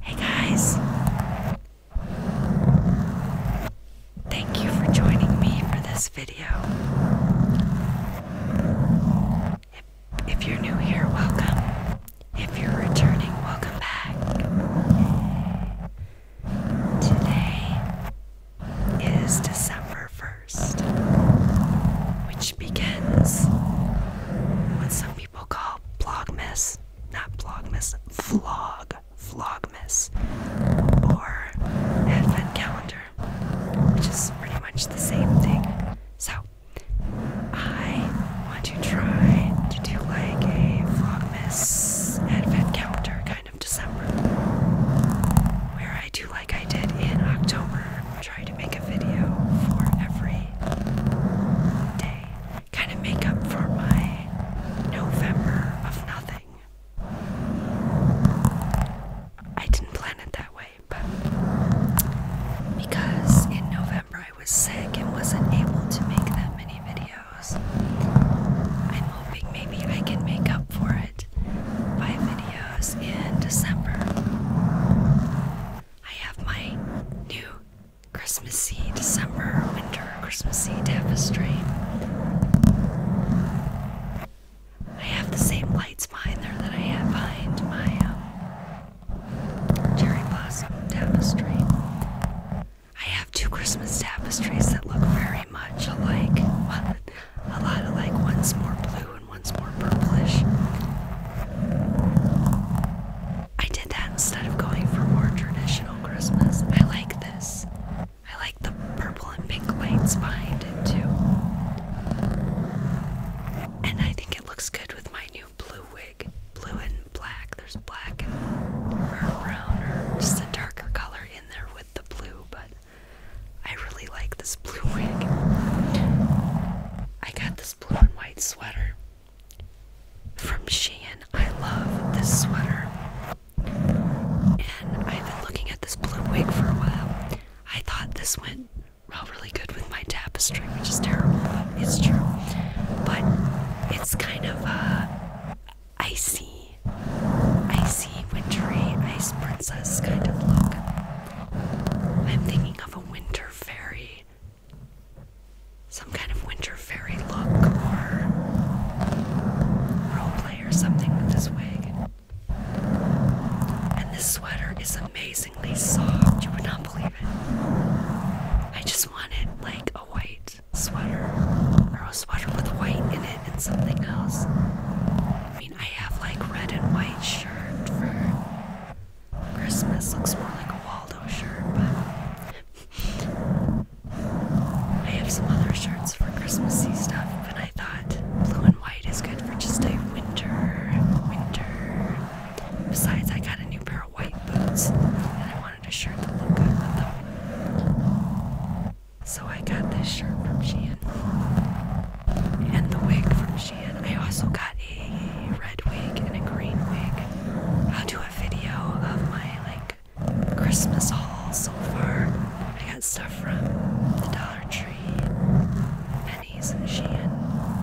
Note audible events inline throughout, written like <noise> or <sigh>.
Hey guys! Thank you for joining me for this video. If, you're new here, welcome. If you're returning, welcome back. Today is December 1st, which begins what some people call Blogmas not Vlogmas, Vlog, Vlogmas, or Advent Calendar, which is pretty much the same thing. So, I want to try to do like a Vlogmas Advent Calendar kind of December, where I do like I did in October, try to make a video for every day kind of make up for my November of nothing. I didn't plan it that way, but because in November I was sick and wasn't able to make that many videos, I'm hoping maybe I can make up for it by videos in December. I have my new Christmassy December winter Christmassy tapestry. I have the same lights behind there that I had behind my um, cherry blossom tapestry. I have two Christmas tapestries that look very much alike. <laughs> a lot alike. One's more blue and one's more purplish. I did that instead of going for more traditional Christmas. I like this. I like the purple and pink lights behind it too. And I think it looks good with my new blue wig. Blue and black. There's black and or brown or just a darker color in there with the blue, but I really like this blue wig. I got this blue and white sweater from Shein. I love this sweater. And I've been looking at this blue wig for a while. I thought this went really good with my tapestry, which is terrible, but it's true. But it's kind of uh, icy, icy, wintry, ice princess kind of look. I'm thinking of a winter fairy some kind of winter fairy look or role play, or something with this wig. And this sweater is amazingly soft. You would not believe it. I just wanted like a white sweater or a sweater with white in it and something else. I mean, I have like red and white shirt for Christmas looks more like a Waldo shirt, but I have some other shirts for Christmassy stuff, but I thought blue and white is good for just a winter, winter. Besides, I got a new pair of white boots, and I wanted a shirt that looked good with them. So I got this shirt from Shein, and the wig from Shein. I also got a red wig and a green wig. I'll do a video of my like Christmas haul so far. I got stuff from the Dollar Tree, Penny's and Shein,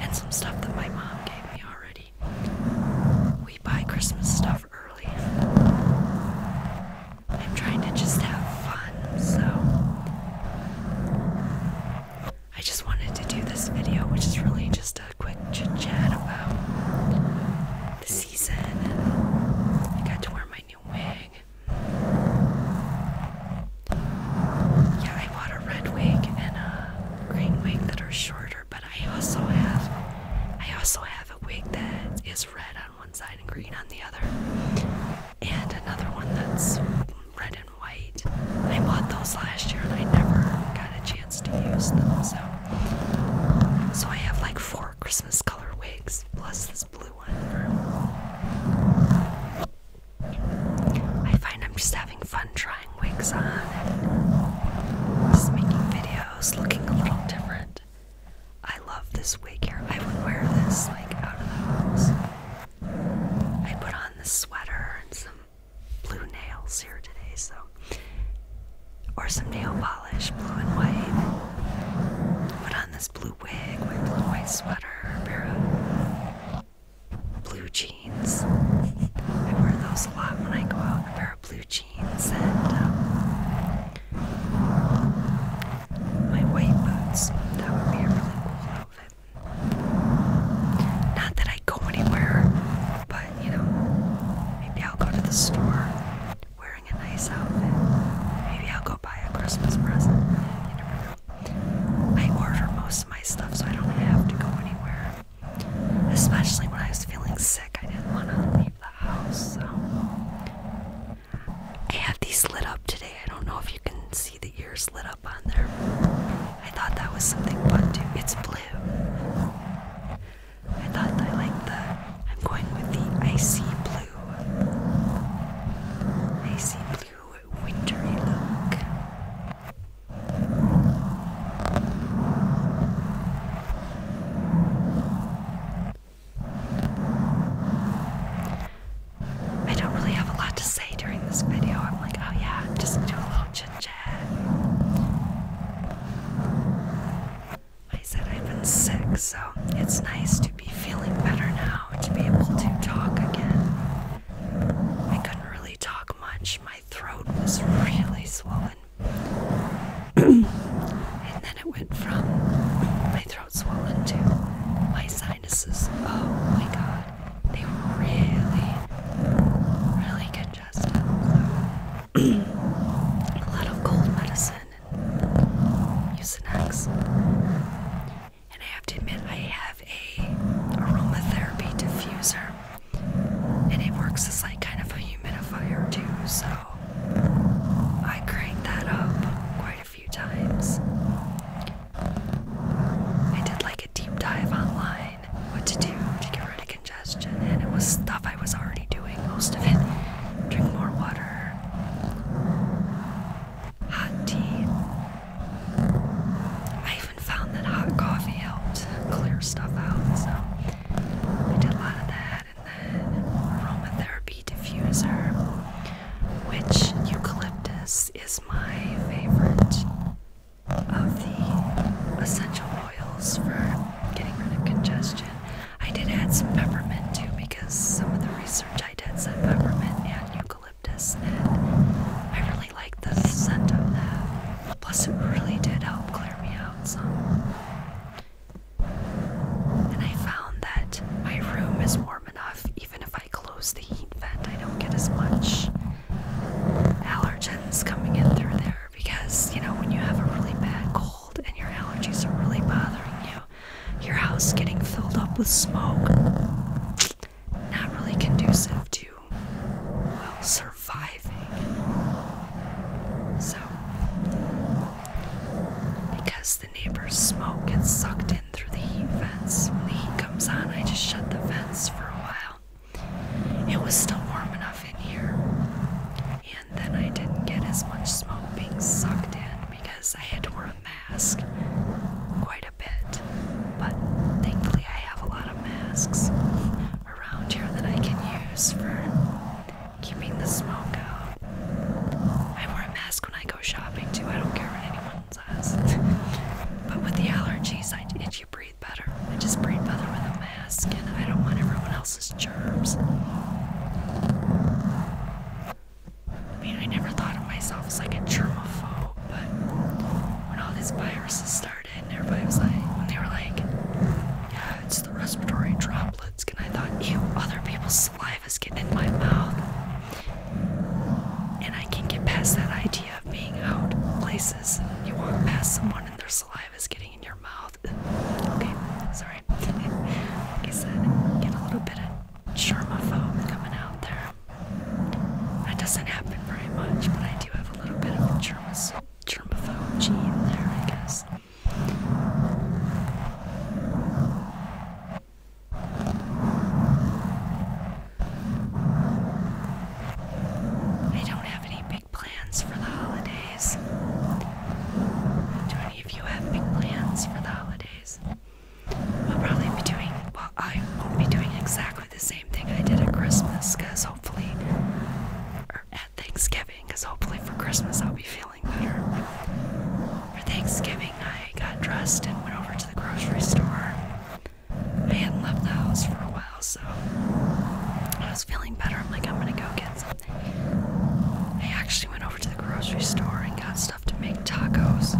and some stuff that my mom gave me already. We buy Christmas stuff early. I'm trying to just have fun, so I just wanted to do this video, which is really just a quick chit chat about the season. I got to wear my new wig. Yeah, I bought a red wig and a green wig that are shorter, but I also have I also have a wig that is red on one side and green on the other, and another one that's red and white. I bought those last year and I never got a chance to use them. So, so I have like four Christmas color wigs plus this blue one. I find I'm just having fun trying wigs on just making videos, looking a little different. I love this wig here. I would wear this like out of the house. I put on this sweater and some blue nails here today, so or some nail polish, blue and white. Put on this blue wig, my blue and white sweater, pair of blue jeans. I wear those a lot when I go out. A pair of blue jeans and um, my white boots. That would be a really cool outfit. Not that I go anywhere, but you know, maybe I'll go to the store wearing a nice outfit. Maybe I'll go buy a Christmas present. You never know. I order most of my stuff so I don't have to go anywhere. Especially when I was feeling sick, I didn't want to leave the house, so. I have these lit up today. I don't know if you can see the ears lit up on there. I thought that was something fun It's blue. I thought I liked the. I'm going with the icy blue. Icy blue, wintry look. I don't really have a lot to say during this video. I'm like, oh yeah, just do a little chit I said I've been sick, so it's nice to be feeling better now, to be able to talk again. I couldn't really talk much, my throat was really swollen. <clears throat> and then it went from my throat swollen to my sinuses. Oh my god, they were really, really getting digestive. a lot of cold medicine and Usinex. And I have to admit, I have a aromatherapy diffuser, and it works as like kind of a humidifier too. So I crank that up quite a few times. I did like it deep dive online, what to do to get rid of congestion, and it was stuff I was already doing, most of it. Drink more water, hot tea. I even found that hot coffee helped clear stuff out, so I did a lot of that. And then aromatherapy diffuser, which eucalyptus is my favorite of the essential oils for getting rid of congestion. I did add some peppermint too because some of the research I did said peppermint and eucalyptus, and I really liked the scent of that. Plus, it really did help clear me out some. And I found that my room is warm enough, even if I close the heat vent, I don't get as much allergens coming in through there because, you know, when you have a really bad cold and your allergies are really bothering you, your house getting filled up with smoke, not really conducive to, well, surviving. So, because the neighbor's smoke gets sucked in through the heat vents, when the heat comes on, I just shut the vents for a while. It was still warm enough in here. And then I didn't get as much smoke being sucked in because I had to wear a mask quite a bit. But thankfully, I have a lot of masks around here that I can use for keeping the smoke out. I wear a mask when I go shopping too, I don't care what anyone says. <laughs> but with the allergies, I, if you breathe I just breathe better with a mask, and I don't want everyone else's germs. I mean, I never thought of myself as like a germaphobe, but when all these viruses started, and everybody was like, when they were like, yeah, it's the respiratory droplets, and I thought, "You other people's saliva is getting in my mouth. And I can get past that idea being out places. You walk past someone and their saliva is getting in your mouth. Okay, sorry. like I said, get a little bit of germaphobe coming out there. That doesn't happen very much, but I do have a little bit of a germaphobe, germaphobe gene there, I guess. I don't have any big plans for the holidays. Do any of you have big plans for the holidays? I'll probably be doing, well, I won't be doing exactly the same thing I did at Christmas because hopefully, or at Thanksgiving because hopefully for Christmas I'll be feeling better. For Thanksgiving, I got dressed and went over to the grocery store. I hadn't left the house for a while, so I was feeling better. I'm like, I'm gonna go get something. I actually went over to the grocery store and got stuff to make tacos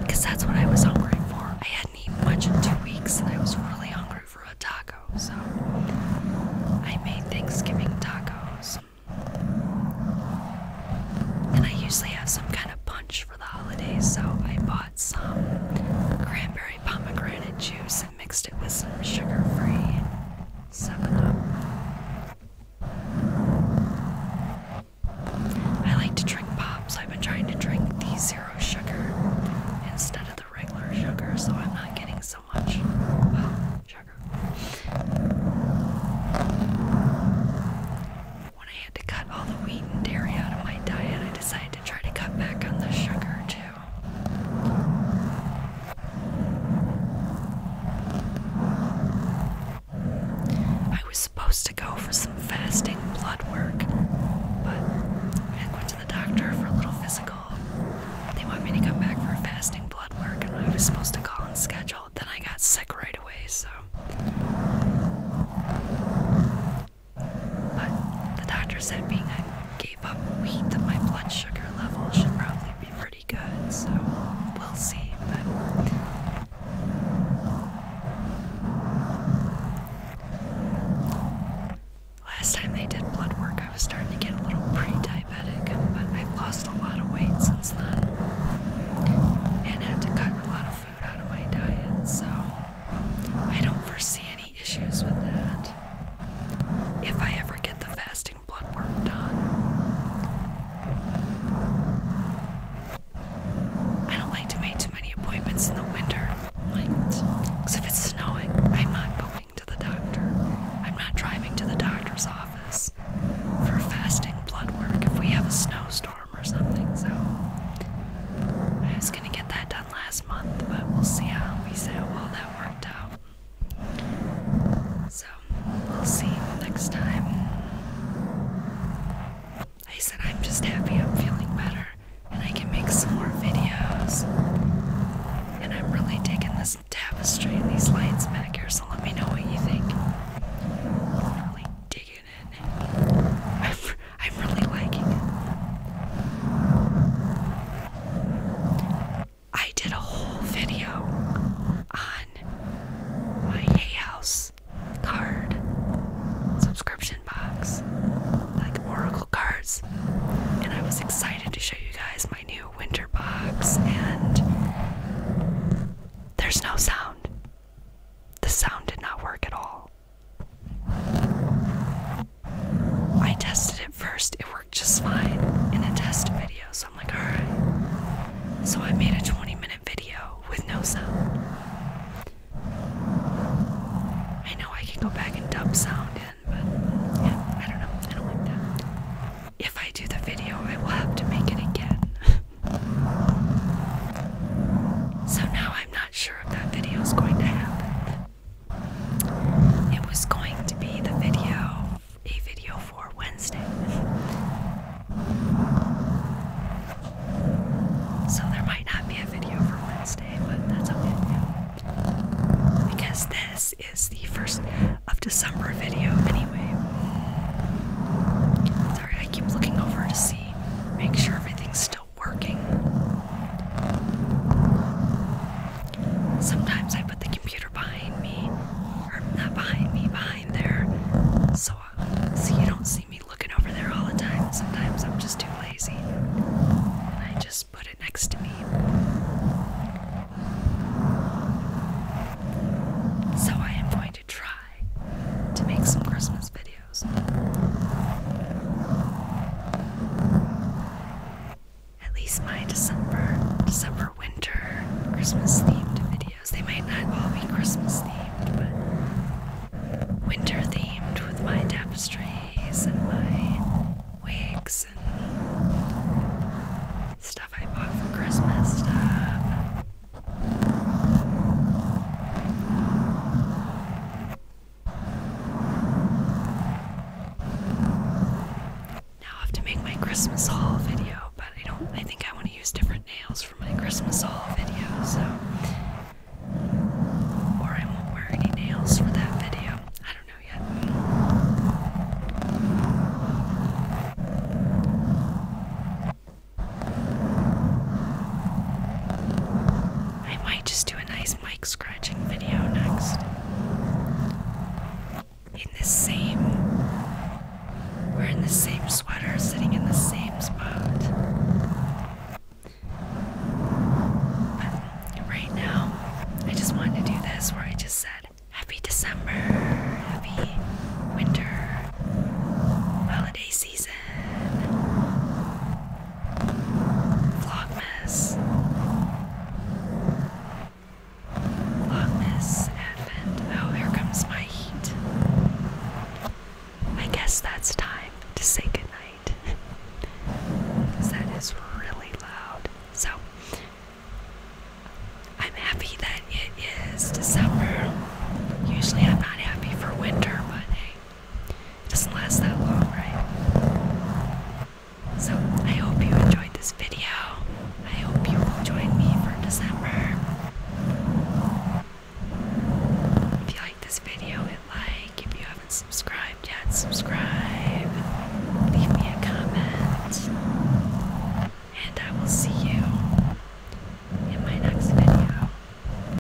because that's what I was hungry for. I hadn't eaten much in two weeks, and I was really hungry for a taco, so I made Thanksgiving tacos. And I usually have some kind of punch for the holidays, so I bought some cranberry pomegranate juice and mixed it with some sugar free I like to drink pop, so I've been trying to drink the zero sugar instead of the regular sugar, so I'm not getting so much sugar. I had to cut all the wheat and dairy out of my diet, I decided to try to cut back on the sugar too. I was supposed to go for some fasting blood work, but I went to the doctor for a little physical. They want me to come back for fasting blood work, and I was supposed to call and schedule. Then I got sick right away, so but the doctor said being I gave up wheat that my blood sugar level should probably be pretty good, so we'll see. But last time they did blood work, I was starting to get a little pre-diabetic, but I've lost a lot of weight since then and had to cut a lot of out of my diet, so I don't foresee any issues with that. If I ever get the fasting blood work done, I don't like to make too many appointments in the winter. Like, because if it's snowing, I'm not going to the doctor. I'm not driving to the doctor's office for fasting blood work if we have a snowstorm or something, so I was gonna get that done last month, but we'll see how we see how well that worked out. So we'll see next time. I said I'm just happy I'm feeling better and I can make some more videos. And I'm really digging this tapestry and these lights back here, so let me know what you think. really digging I'm really liking it. I did a whole video on my Hay House card subscription box, like Oracle cards, and I was excited to show you guys my new winter box and there's no sound. The sound did not work at all. I tested it first, it worked just fine in a test video, so I'm like, alright. So I made a 20 minute video with no sound. I know I can go back and dump sound in, but I don't know. I don't like that. If I do the video, I will have to make it again. <laughs> so now I'm not sure if that video is going to happen. It was going to be the video, a video for Wednesday. So there might not be a video for Wednesday, but that's okay. Because this is the first of December video anyway. Sorry, I keep looking over to see, make sure everything's still working. Sometimes I put the computer behind me, or not behind me, behind there, so, uh, so you don't see me looking over there all the time. Sometimes I'm just too lazy, and I just put it next to me. So I am going to try to make some Christmas videos. At least my December, December winter Christmas themed videos. They might not all be Christmas themed, but winter themed with my tapestries and my wigs and stuff I bought for Christmas stuff. Now I have to make my Christmas haul video, but I don't I think I want to use different nails for my Christmas haul video, so or I won't wear any nails for that video. I don't know yet. I might just do a nice mic scratching video next. In the same. We're in the same sweater, sitting in the same spot. But right now, I just wanted to do this where I just said, Happy December, Happy Winter, Holiday Season season. Vlogmas. Vlogmas Advent. Oh, here comes my heat. I guess that's time to say goodnight. <laughs> that is really loud. So, I'm happy that it is December. Usually I'm not happy for winter, but hey, it doesn't last that long, right? So I hope you enjoyed this video. I hope you will join me for December. If you like this video, hit like. If you haven't subscribed yet, subscribe. Leave me a comment. And I will see you in my next video.